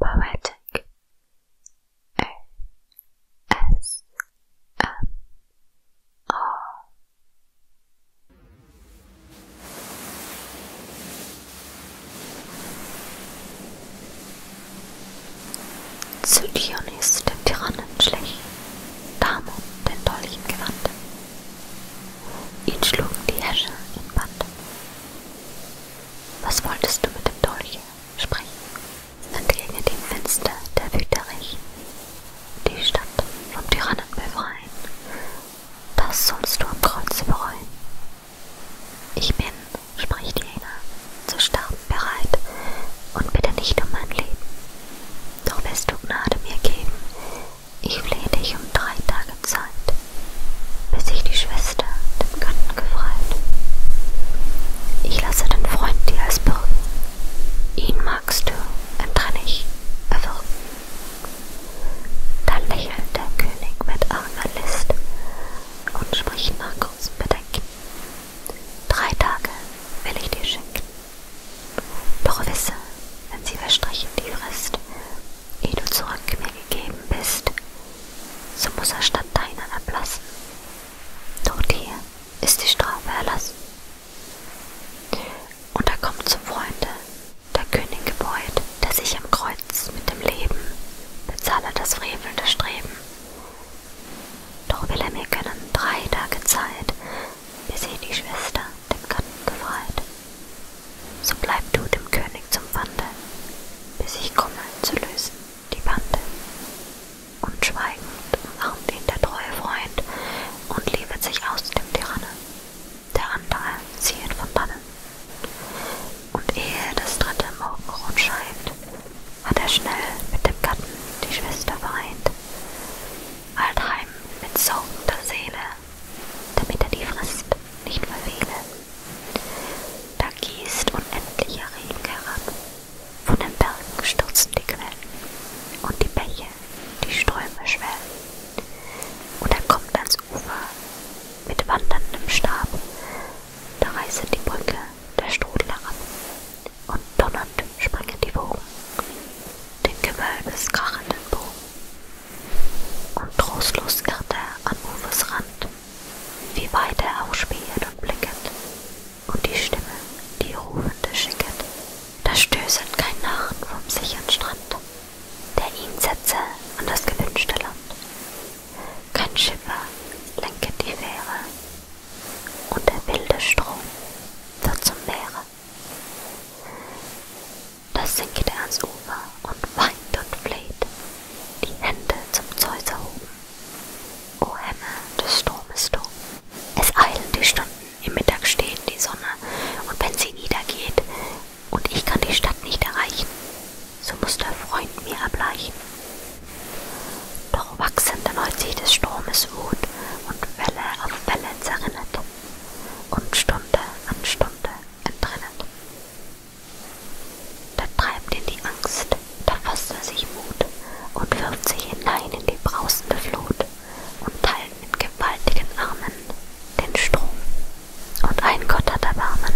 Poetic O S M R Zu Dionys dem Tyrannen Damon den Dolch gewandten. Ihn schlugen die Häscher in Band. Was wolltest du mit dem Dolche? Sprechen, entgegen dem Fenster der Wüterich. Die Stadt vom Tyrannen befreien. Das sollst du am Kreuze bereuen. Ich bin, spricht jener, zu sterben bereit und bitte nicht um mein Leben. Doch wirst du Gnade mir geben, ich flehe dich um drei Tage Zeit, bis sich die Schwester dem Götten gefreit. Ich lasse den Freund dir als Bürgen, ihn magst du enttrennig erwürgen. Da lächelt der König mit armer List und spricht nach kurzem Bedenken. Drei Tage will ich dir schenken, doch wisse, wenn sie verstrichen die Frist, Ehe du zurück mir gegeben bist, so muss er statt deinen erblassen. Dort hier ist die Strafe erlassen. Und da kommt zum Freunde der König gebeut, der sich am Kreuz mit dem Leben bezahle das frevelnde Streben. Doch will er mir gönnen drei Tage Zeit, bis ich die Schwester dem Gatten gefreut. So bleib du dem König zum Pfande, bis ich komme zu lösen die Bande. Und schweigend umarmt ihn der treue Freund und liebet sich aus dem Tyranne. Der andere ziehet von dannen. Und ehe das dritte Morgenrot scheint, hat er schnell mit dem Gatten die Schwester vereint. Altheim mit sorgender Seele damit er die Frist nicht verfehle. Da gießt unendlicher Regen herab, von den Bergen stürzen die Quellen und die Bäche, die Ströme schwellen. Und er kommt ans Ufer mit wanderndem Stab, da reißt die Brücke der Strudel herab und donnernd springen die Wogen, den Gewölbes krachenden Bogen. Und trostlos irrt er an Uwes Rand, wie weit er auch spähet und blicket, und die Stimme, die rufende schicket, da stößet kein Narren vom sichern Strand, der ihn setze an das gewünschte Land. Kein Schiffer lenket die Fähre, und der wilde Strom wird zum Meere. Da sinkt er ans Ufer und weint und fleht, die Hände zum Zeus erhoben. O Hemme des Sturmes du, es eilen die Stunden, im Mittag steht die Sonne, und wenn sie niedergeht, und ich kann die Stadt nicht erreichen, so muß der Freund mir erbleichen. Doch wachsen erneut sich des Sturmes Wut, und Welle auf Welle zerrinnet, und Stunde an Stunde entrinnend. Da treibt ihn die Angst, da fasst er sich Mut und wirft sich hinein in die brausende Flut und teilt mit gewaltigen Armen den Strom. Und ein Gott hat Erbarmen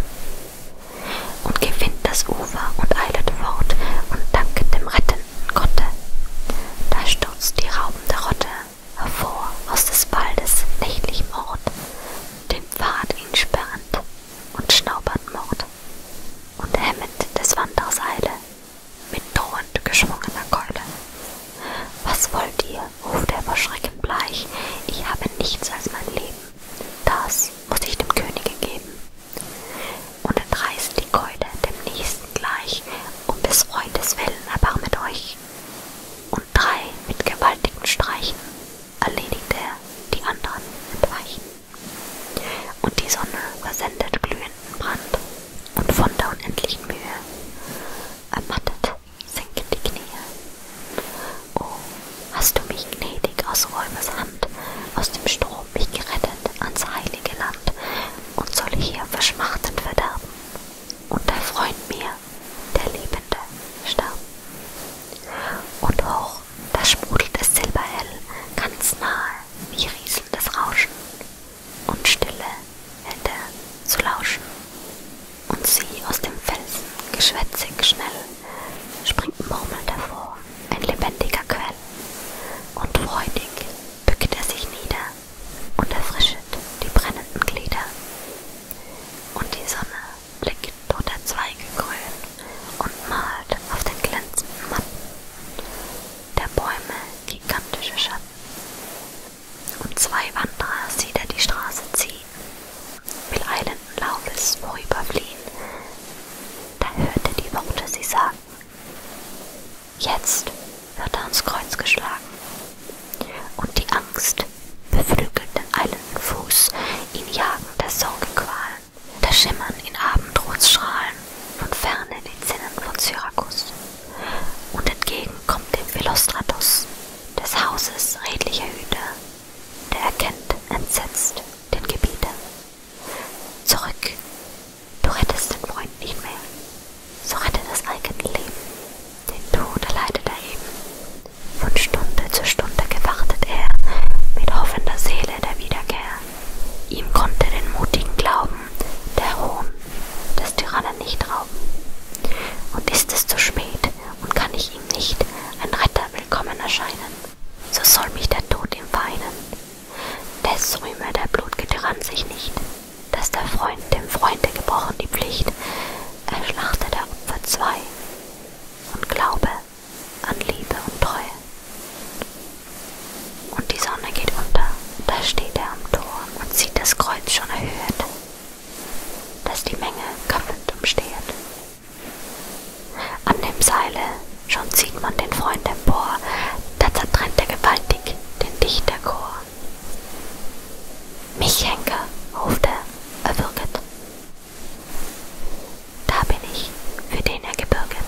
und gewinnt das Ufer und eilet fort und danket dem Retten finden konnte. Da stürzt die raubende Rotte hervor aus des Waldes nächtlichem Ort, den Pfad ihn sperrend und schnaubert Mord und hemmend des Wanders Eile mit drohend geschwungener Keule. Was wollt ihr? ruft er vor Schrecken bleich. Ich habe nichts als mein Leben. Das muss ich dem Könige geben und entreißt die Keule dem Nächsten gleich, um des Freundes willen erbarmet euch. Und drei mit gewaltigen Streichen erledigt er die anderen entweichen. Und die Sonne versendet glühenden Brand, und von der unendlichen Mühe ermattet sinken die Knie. Oh, hast du mich gnädig aus Räubers Hand, aus dem Strom mich gerettet ans heilige Land, und soll hier verschmachtend verderben und der Freund mir, der Liebende, starb. Und hoch, da sprudelt es silberhell, ganz nahe, wie rieselndes Rauschen, und Stille hält er zu lauschen. Und sie aus dem Felsen, geschwätzig schnell, springt murmelnd hervor, ein lebendiger Quell, und freudig bückt er sich nieder und erfrischet die brennenden Glieder. Und die Sonne blickt unter Zweige grün und malt auf den glänzenden Matten der Bäume gigantische Schatten. Und zwei Wanderer sieht er die Straße ziehen, will eilenden Laufes vorüberfliehen. Da hört er die Worte sie sagen, Jetzt wird er ans Kreuz geschlagen. Und die Angst beflügelt den eilenden Fuß, ihn jagen der Sorge Qualen, das Schimmern in Abendrotstrahlen von ferne die Zinnen von Syrakus. Und entgegen kommt dem Philostratus, des Hauses redlicher Hüter, der erkennt entsetzt den Gebieter. Zurück Du rettest den Freund nicht mehr. So rette das eigene Leben. Den Tod erleidet er eben. Von Stunde zu Stunde gewartet er mit hoffender Seele der Wiederkehr. Ihm konnte den mutigen Glauben der Hohn des Tyrannen nicht rauben. Und ist es zu spät und kann ich ihm nicht ein Retter willkommen erscheinen? so soll mich der Tod ihm weinen. Des rühme der Blutgetyrann sich nicht, dass der Freund dem Freunde gebrochen die Pflicht, er schlachte der Opfer zwei und glaube an Liebe und Treue. Und die Sonne geht unter, da steht er am Tor und sieht das Kreuz schon erhöht, dass die Menge köpfend umsteht. An dem Seile, schon zieht man den Freund empor, da zertrennt er gewaltig den Dichterchor. Mich Henker, ruft er, erwürget. Da bin ich, für den er gebürget.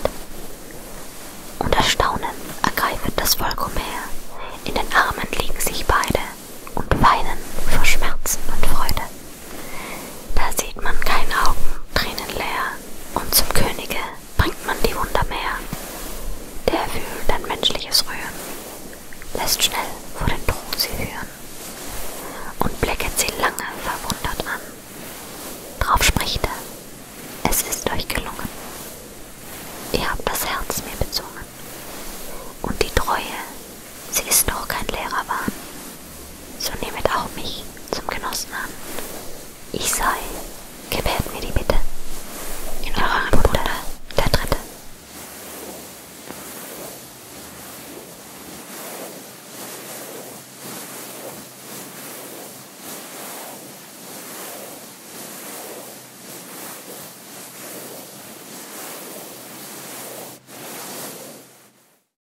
Und Erstaunen ergreifet das Volk umher, in den Armen liegen sich beide und weinen vor Schmerzen und Freude. Da sieht man keine Augen, Tränen leer, und zum Könige bringt man die Wunder mehr. Der fühlt ein menschliches Rühren, lässt schnell vor den Thron sie führen und blicket sie lange verwundert an. Drauf spricht er, es ist euch gelungen. Ihr habt das Herz mir bezungen und die Treue, sie ist doch kein leerer Wahn. So nehmet auch mich zum Genossen an. Ich sei, gewährt mir die Bitte, in eurer Bruder, der Dritte.